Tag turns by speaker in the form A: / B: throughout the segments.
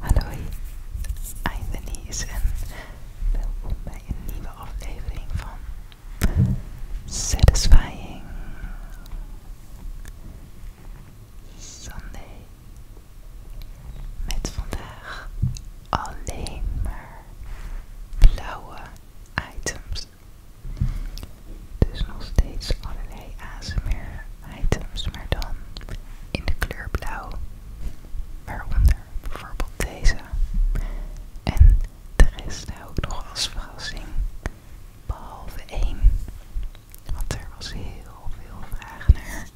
A: Hallo, I'm Denise en welkom bij een nieuwe aflevering van Satisfying Sunday. Met vandaag alleen maar blauwe items. Dus nog steeds allerlei meer items, maar dan in de kleur blauw. Waaronder bijvoorbeeld deze. En de rest hou ik nog als verrassing. Behalve één. Want er was heel veel vraag naar.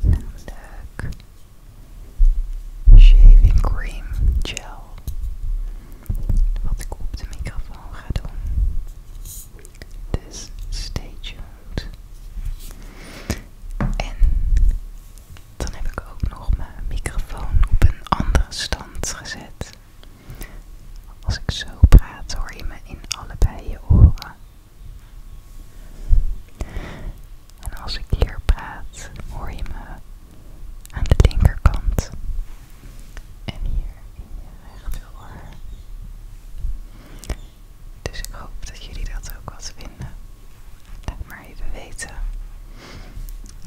A: Namelijk shaving cream gel. Wat ik op de microfoon ga doen. Dus stay tuned. En dan heb ik ook nog mijn microfoon op een andere stand gezet. Als ik zo praat hoor je me in allebei je oren. En als ik hier praat hoor je me aan de linkerkant. En hier in je rechteroor. Dus ik hoop dat jullie dat ook wat vinden. Laat maar even weten.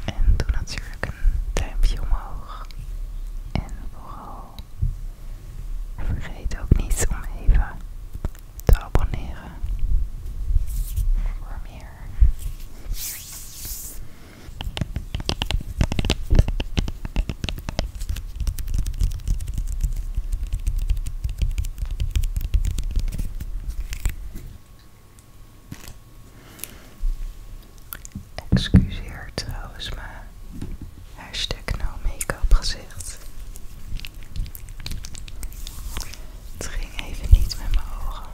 A: En doe natuurlijk een duimpje omhoog. En vooral vergeet ook niet om even te abonneren voor meer. Excuseert trouwens maar hashtag no make-up gezicht. Het ging even niet met mijn ogen.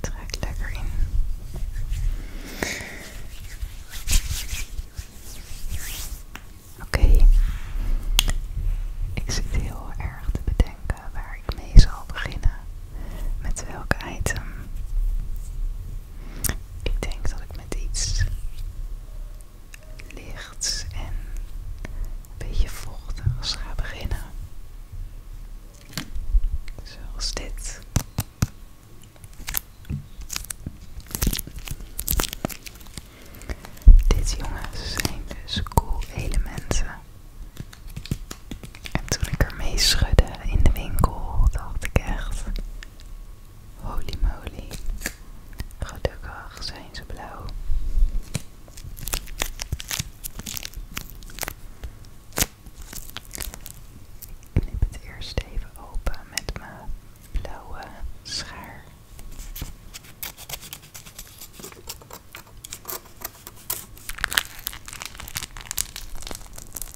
A: Trek lekker in. Oké, ik zit heel erg te bedenken waar ik mee zal beginnen. Met welk item. Ik denk dat ik met iets lichts en een beetje vochtigs ga beginnen. Zoals dit. Dit jongens zijn dus koelementen. En toen ik ermee schudde in de winkel, dacht ik echt: holy moly, gelukkig zijn ze blauw. Ik knip het eerst even open met mijn blauwe schaar.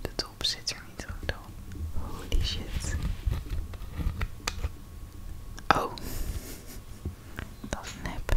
A: De top zit er niet goed op. Holy shit. Oh, dat nep.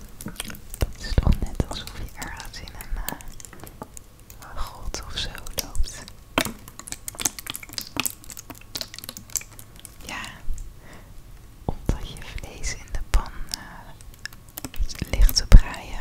A: Het is toch net alsof je ergens in eh, een grot of zo loopt. Ja, omdat je vlees in de pan licht eh, ligt te draaien.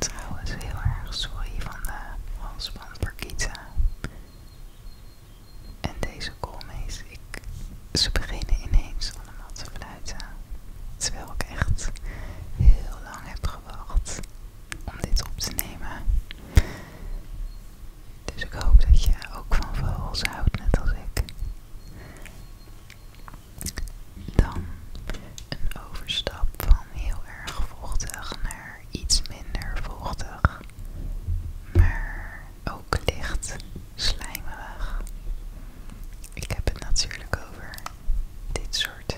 A: Trouwens, heel erg sorry van de halsband En deze koolmees, ik, ze beginnen ineens allemaal te fluiten. Terwijl ik echt heel lang heb gewacht om dit op te nemen. Dus ik hoop dat je ook van vogels houdt, net als ik. Dan een overstap van heel erg vochtig naar iets minder vochtig, maar ook licht slijmerig. Ik heb het natuurlijk over dit soort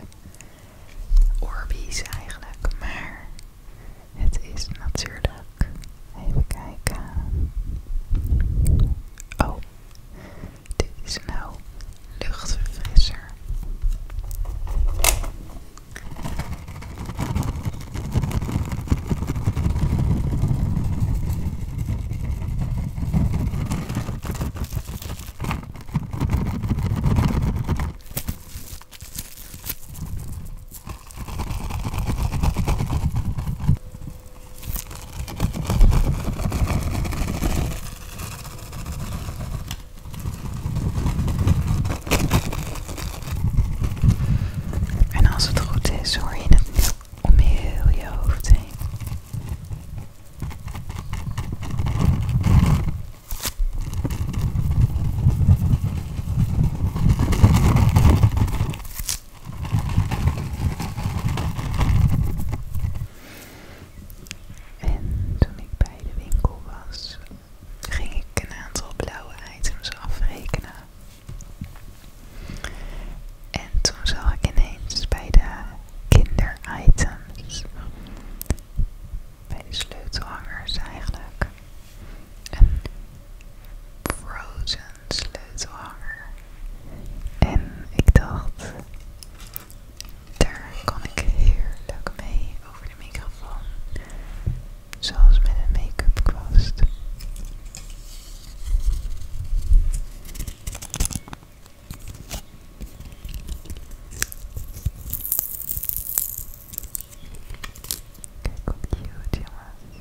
A: orbies eigenlijk, maar het is natuurlijk Even kijken. Oh, dit is nou luchtverfrisser. En als het goed is, hoor je het om heel je hoofd heen. En toen ik bij de winkel was, ging ik een aantal blauwe items afrekenen. En toen zag ik ineens bij de kinderitems, bij de sleutelhangers eigenlijk, een frozen een sleutelhanger. En ik dacht, daar kan ik heerlijk mee over de microfoon. Zoals met een make-up kwast. Kijk hoe cute jongens.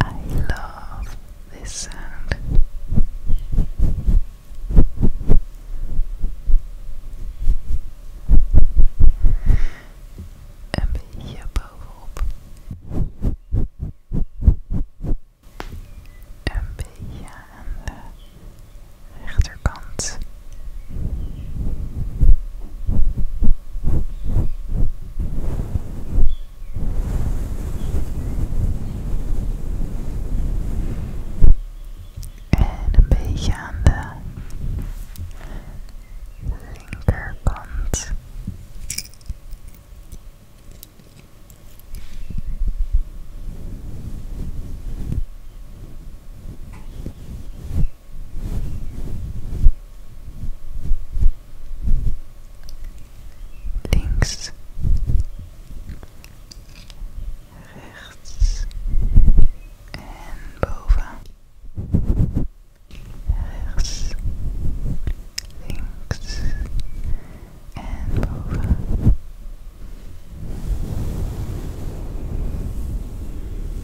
A: I love this sound. Een beetje bovenop. Een beetje aan rechterkant. En een beetje aan de linkerkant links, rechts en boven, rechts, links en boven.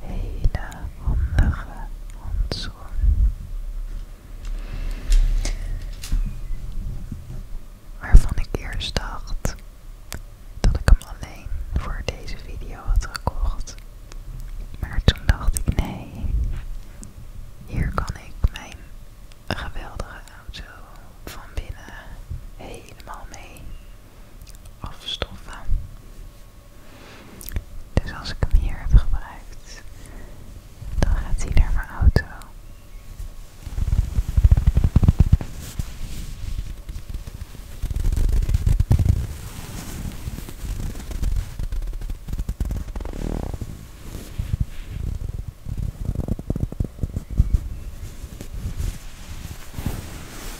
A: hele handige handschoen. Waarvan ik eerst dacht dat ik hem alleen voor deze video had gekocht. Maar toen dacht ik nee, hier kan ik mijn geweldige auto van binnen helemaal mee afstoffen. Dus als ik hem hier heb gebruikt, dan gaat hij naar mijn auto.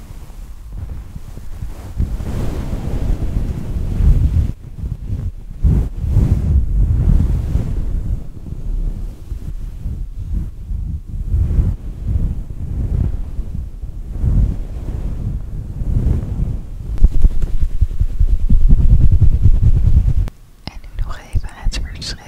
A: En nu nog even het verschil.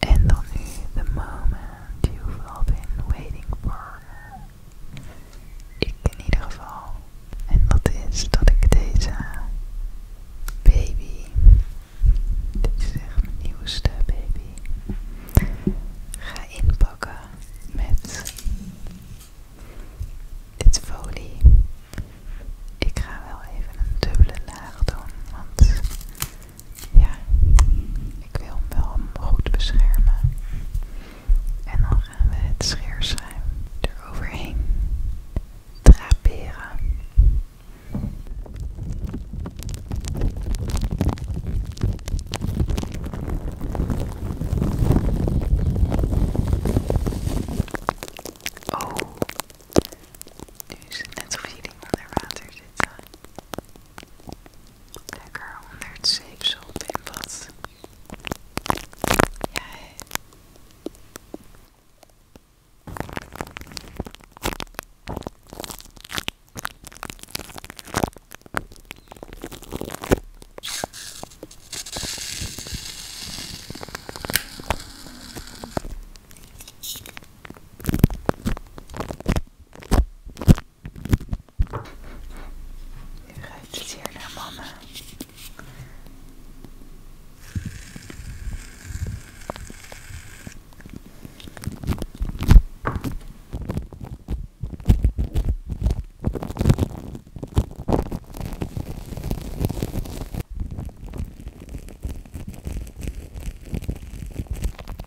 A: En dan nu the moment you've all been waiting for. Ik in ieder geval. En dat is dat ik deze baby, dit is echt mijn nieuwste baby, ga inpakken met dit folie. Ik ga wel even een dubbele laag doen, want ja, ik wil hem wel goed beschermen. En dan gaan we het scheerschuim eroverheen draperen. Oh, nu is het net alsof je ding onder water zit. Lekker onder zeepsop in wat nu ruikt het hier mama.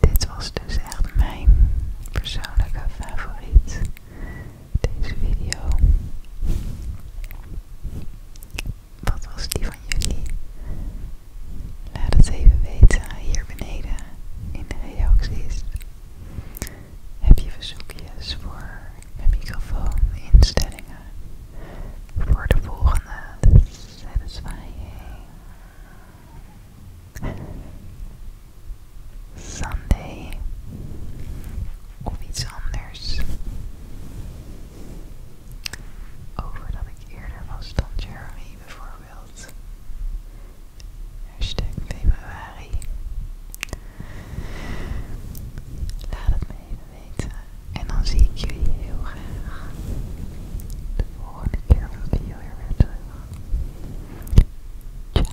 A: Dit was dus echt mijn persoonlijke favoriet. Deze video. Wat was die van jullie? Laat het even weten hier beneden in de reacties. Heb je verzoekjes voor een microfoon, instellingen voor de volgende satisfying Sunday of iets anders? over dat ik eerder was dan Jeremy bijvoorbeeld. februari. Laat het me even weten. En dan zie ik jullie heel graag de volgende keer op video weer weer terug. Ciao.